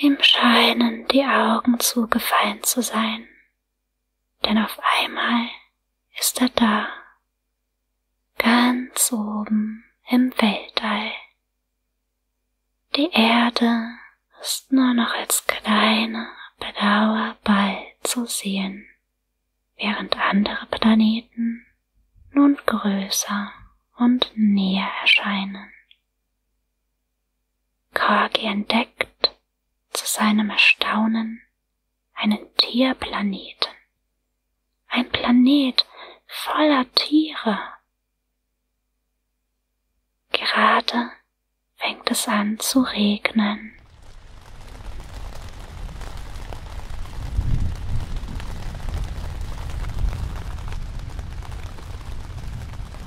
Ihm scheinen die Augen zugefallen zu sein, denn auf einmal ist er da, ganz oben im Weltall. Die Erde ist nur noch als kleiner, blauer Ball zu sehen, während andere Planeten nun größer und näher erscheinen. Korgi entdeckt zu seinem Erstaunen einen Tierplaneten. Ein Planet voller Tiere. Gerade fängt es an zu regnen.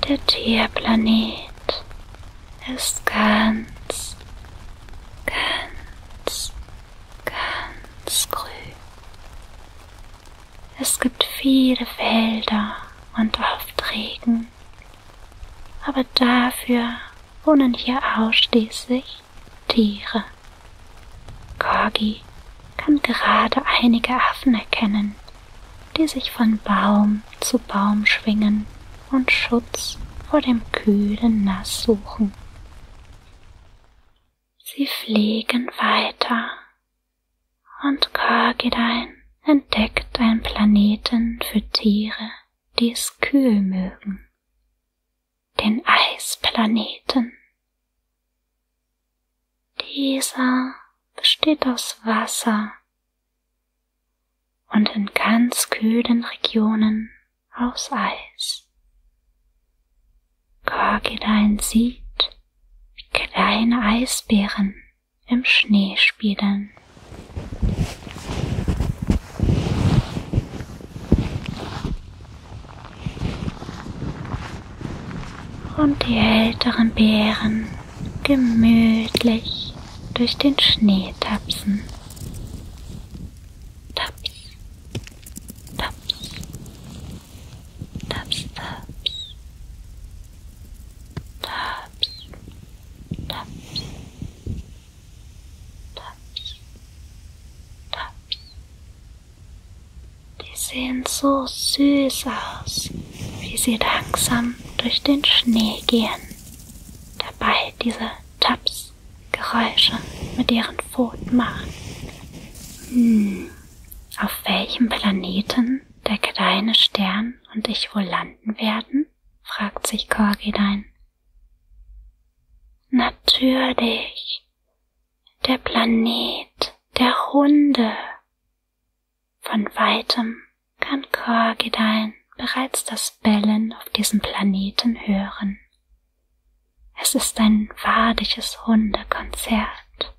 Der Tierplanet ist ganz, ganz, ganz grün. Es gibt viele Felder und oft Regen, aber dafür wohnen hier ausschließlich Tiere. Corgi kann gerade einige Affen erkennen, die sich von Baum zu Baum schwingen und Schutz vor dem kühlen Nass suchen. Sie fliegen weiter und Kargedein entdeckt einen Planeten für Tiere, die es kühl mögen. Den Eisplaneten. Dieser besteht aus Wasser und in ganz kühlen Regionen aus Eis. Korgilein sieht, wie kleine Eisbären im Schnee spielen und die älteren Bären gemütlich durch den Schnee tapsen. Taps, taps, taps, taps, taps, taps, taps, taps, die sehen so süß aus, wie sie langsam durch den Schnee gehen. Dabei diese Taps-Geräusche mit ihren Pfoten machen. Hm, auf welchem Planeten der kleine Stern und ich wohl landen werden? fragt sich Korgidein. Natürlich, der Planet der Hunde, von weitem kann Korgidein bereits das Bellen auf diesem Planeten hören. Es ist ein wadiges Hundekonzert.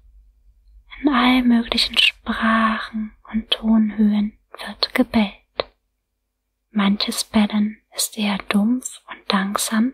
In all möglichen Sprachen und Tonhöhen wird gebellt. Manches Bellen ist eher dumpf und langsam,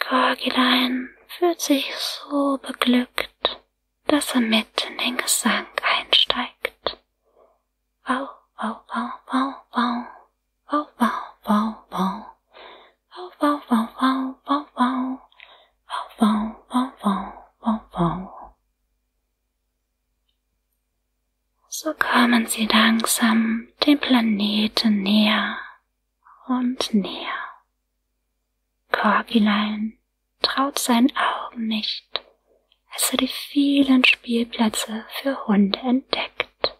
Gorgilein fühlt sich so beglückt, dass er mit in den Gesang einsteigt. Wow, wow, wow, wow, wow, wow, wow, wow, wow. Wow, wow, wow, wow, wow, wow. Wow, wow, wow, wow, wow, wow. So kommen sie langsam dem Planeten näher, und näher. Korkilein traut seinen Augen nicht, als er die vielen Spielplätze für Hunde entdeckt.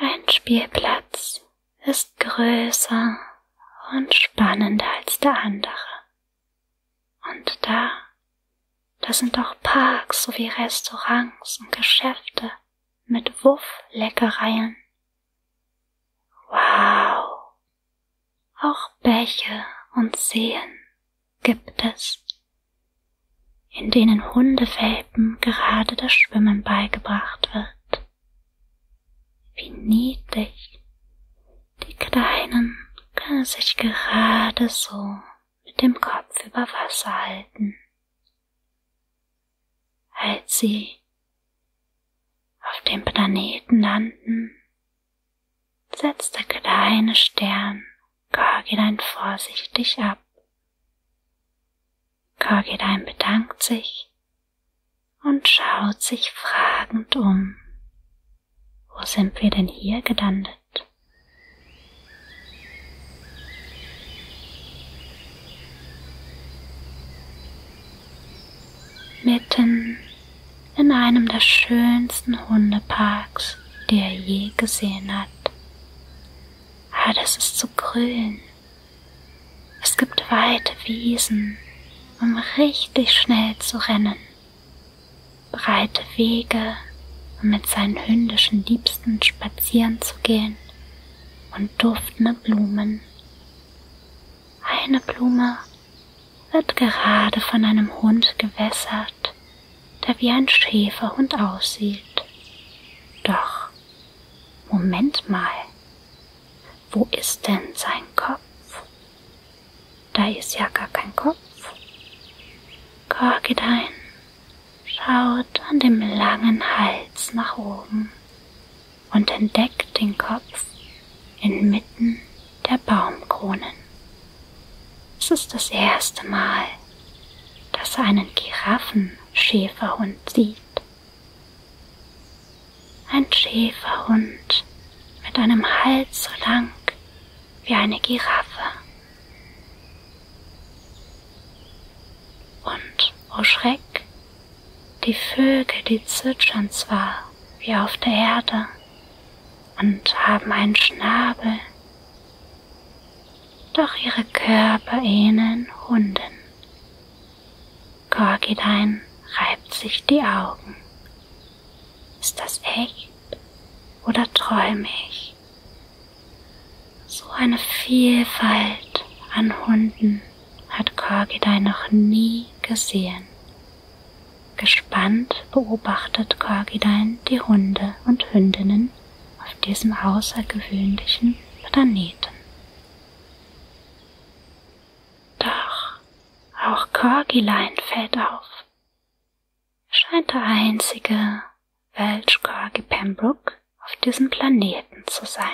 Ein Spielplatz ist größer und spannender als der andere. Und da, da sind auch Parks sowie Restaurants und Geschäfte, mit Wuff-Leckereien. Wow! Auch Bäche und Seen gibt es, in denen Hundewelpen gerade das Schwimmen beigebracht wird. Wie niedlich! Die Kleinen können sich gerade so mit dem Kopf über Wasser halten als sie auf dem Planeten landen, setzt der kleine Stern Kargilein vorsichtig ab. Kargilein bedankt sich und schaut sich fragend um. Wo sind wir denn hier gelandet? Mitten in einem der schönsten Hundeparks, die er je gesehen hat. Ah, das ist so grün. Es gibt weite Wiesen, um richtig schnell zu rennen. Breite Wege, um mit seinen hündischen Liebsten spazieren zu gehen und duftende Blumen. Eine Blume wird gerade von einem Hund gewässert, der wie ein Schäferhund aussieht. Doch, Moment mal, wo ist denn sein Kopf? Da ist ja gar kein Kopf. Korgidein Schaut an dem langen Hals nach oben und entdeckt den Kopf inmitten der Baumkronen. Es ist das erste Mal, dass er einen Giraffenschäferhund sieht. Ein Schäferhund mit einem Hals so lang wie eine Giraffe. Und, oh Schreck, die Vögel, die zwitschern zwar wie auf der Erde und haben einen Schnabel, doch ihre Körper ähneln Hunden. Korgidein reibt sich die Augen. Ist das echt oder träume ich? So eine Vielfalt an Hunden hat Korgidai noch nie gesehen. Gespannt beobachtet Korgidein die Hunde und Hündinnen auf diesem außergewöhnlichen Planeten. Doch auch Korgilein fällt auf. Er scheint der einzige Welch Korgi Pembroke auf diesem Planeten zu sein.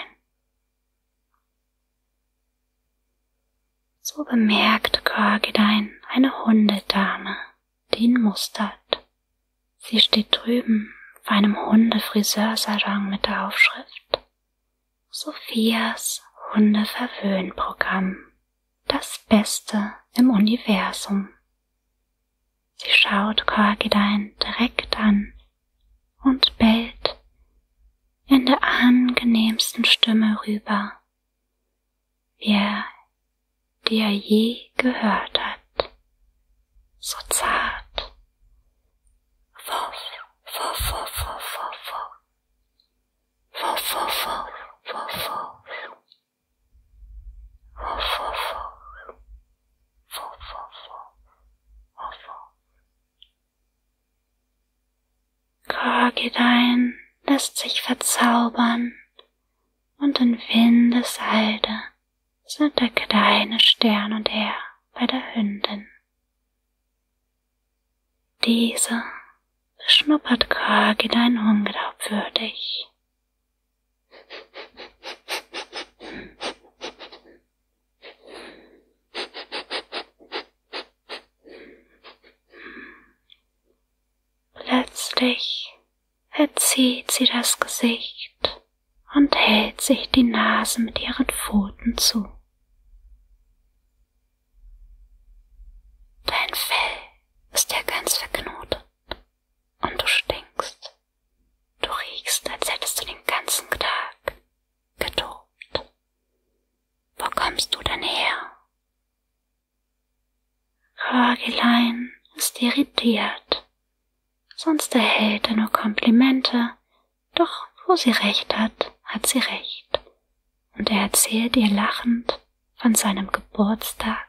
So bemerkt Korgidein eine Hundedame, die ihn mustert. Sie steht drüben vor einem Hundefriseursalon mit der Aufschrift Sophias Hundeverwöhnprogramm. Das Beste im Universum. Sie schaut Korgidein direkt an und bellt in der angenehmsten Stimme rüber, wie er, die er je gehört hat. So zart. Wuff, wuff, wuff, wuff, wuff, wuff. Wuff, wuff, wuff, wuff, wuff. Wuff, wuff, wuff. So, so, so. Oh, so. Also. Kragedein lässt sich verzaubern und in Windeseilde sind der kleine Stern und er bei der Hündin. Diese beschnuppert Kragedein unglaubwürdig. Plötzlich verzieht sie das Gesicht und hält sich die Nase mit ihren Pfoten zu. Dein Fell ist ja ganz verknotet und du stinkst. Du riechst, als hättest du den ganzen Tag getobt. Wo kommst du denn her? Röhrgelein ist irritiert. Sonst erhält er nur Komplimente, doch wo sie recht hat, hat sie recht. Und er erzählt ihr lachend von seinem Geburtstag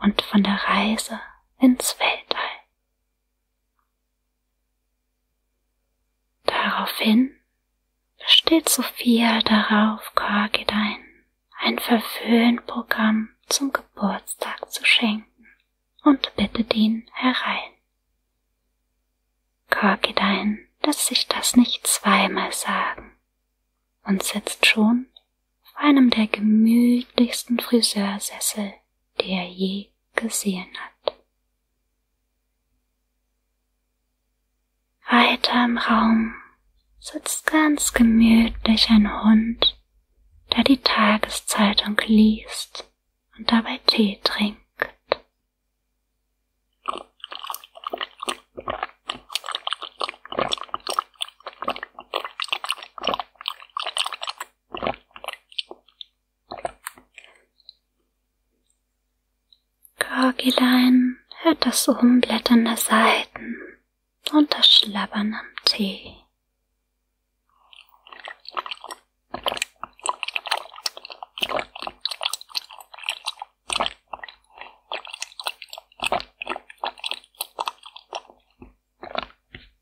und von der Reise ins Weltall. Daraufhin besteht Sophia darauf, Korgidein ein Verföhnprogramm zum Geburtstag zu schenken und bittet ihn herein. Korgidein lässt sich das nicht zweimal sagen und sitzt schon auf einem der gemütlichsten Friseursessel, die er je gesehen hat. Weiter im Raum sitzt ganz gemütlich ein Hund, der die Tageszeitung liest und dabei Tee trinkt. Gorgilein hört das Umblättern der Seiten und das Schlabbern am Tee.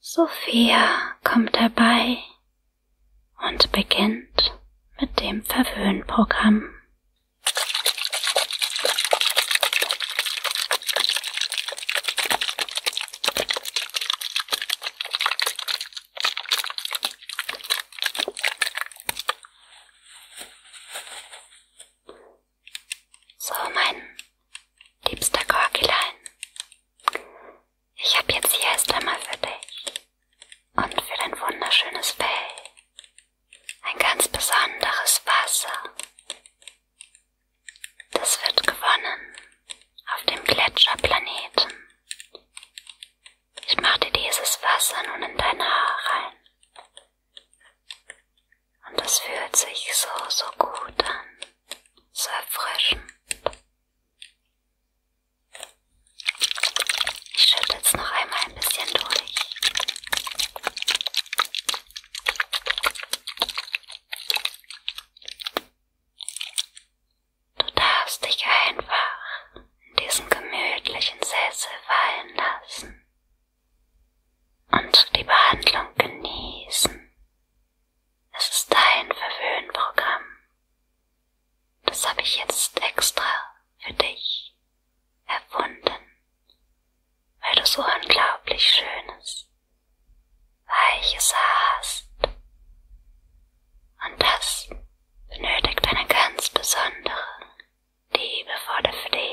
Sophia kommt dabei und beginnt mit dem Verwöhnprogramm. So, mein liebster Gorgilein. Ich habe jetzt hier erst einmal für dich und für dein wunderschönes Fell ein ganz besonderes Wasser. Das wird gewonnen auf dem Gletscherplaneten ich mach dir dieses Wasser nun in deine Haare rein. Und es fühlt sich so, so gut an. So erfrischend. Ich schütte jetzt noch einmal ein bisschen durch. Du darfst dich einfach in diesen gemütlichen Sessel fallen lassen und die Behandlung genießen. Es ist dein Verwöhnprogramm. Das habe ich jetzt extra für dich erfunden, weil du so unglaublich schönes, weiches hast. Und das benötigt eine ganz besondere, liebevolle Pflege.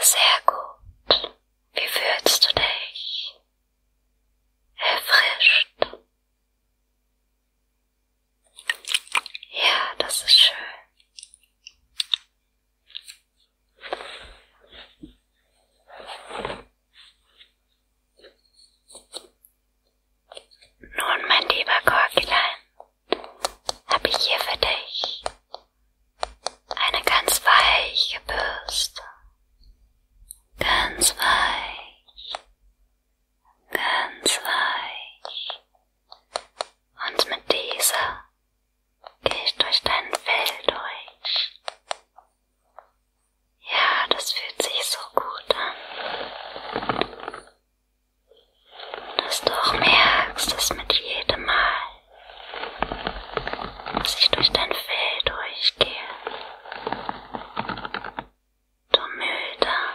Sehr gut. Wie fühlst du dich? Erfrischt. Ja, das ist schön. Nun, mein lieber Korkelein, habe ich hier für dich eine ganz weiche Bürste. Ganz weich. Ganz weich. Und mit dieser Gehe ich durch dein Fell durch. Ja, das fühlt sich so gut an. Dass du auch merkst, dass mit jedem Mal, dass ich durch dein Fell durchgehe, du müder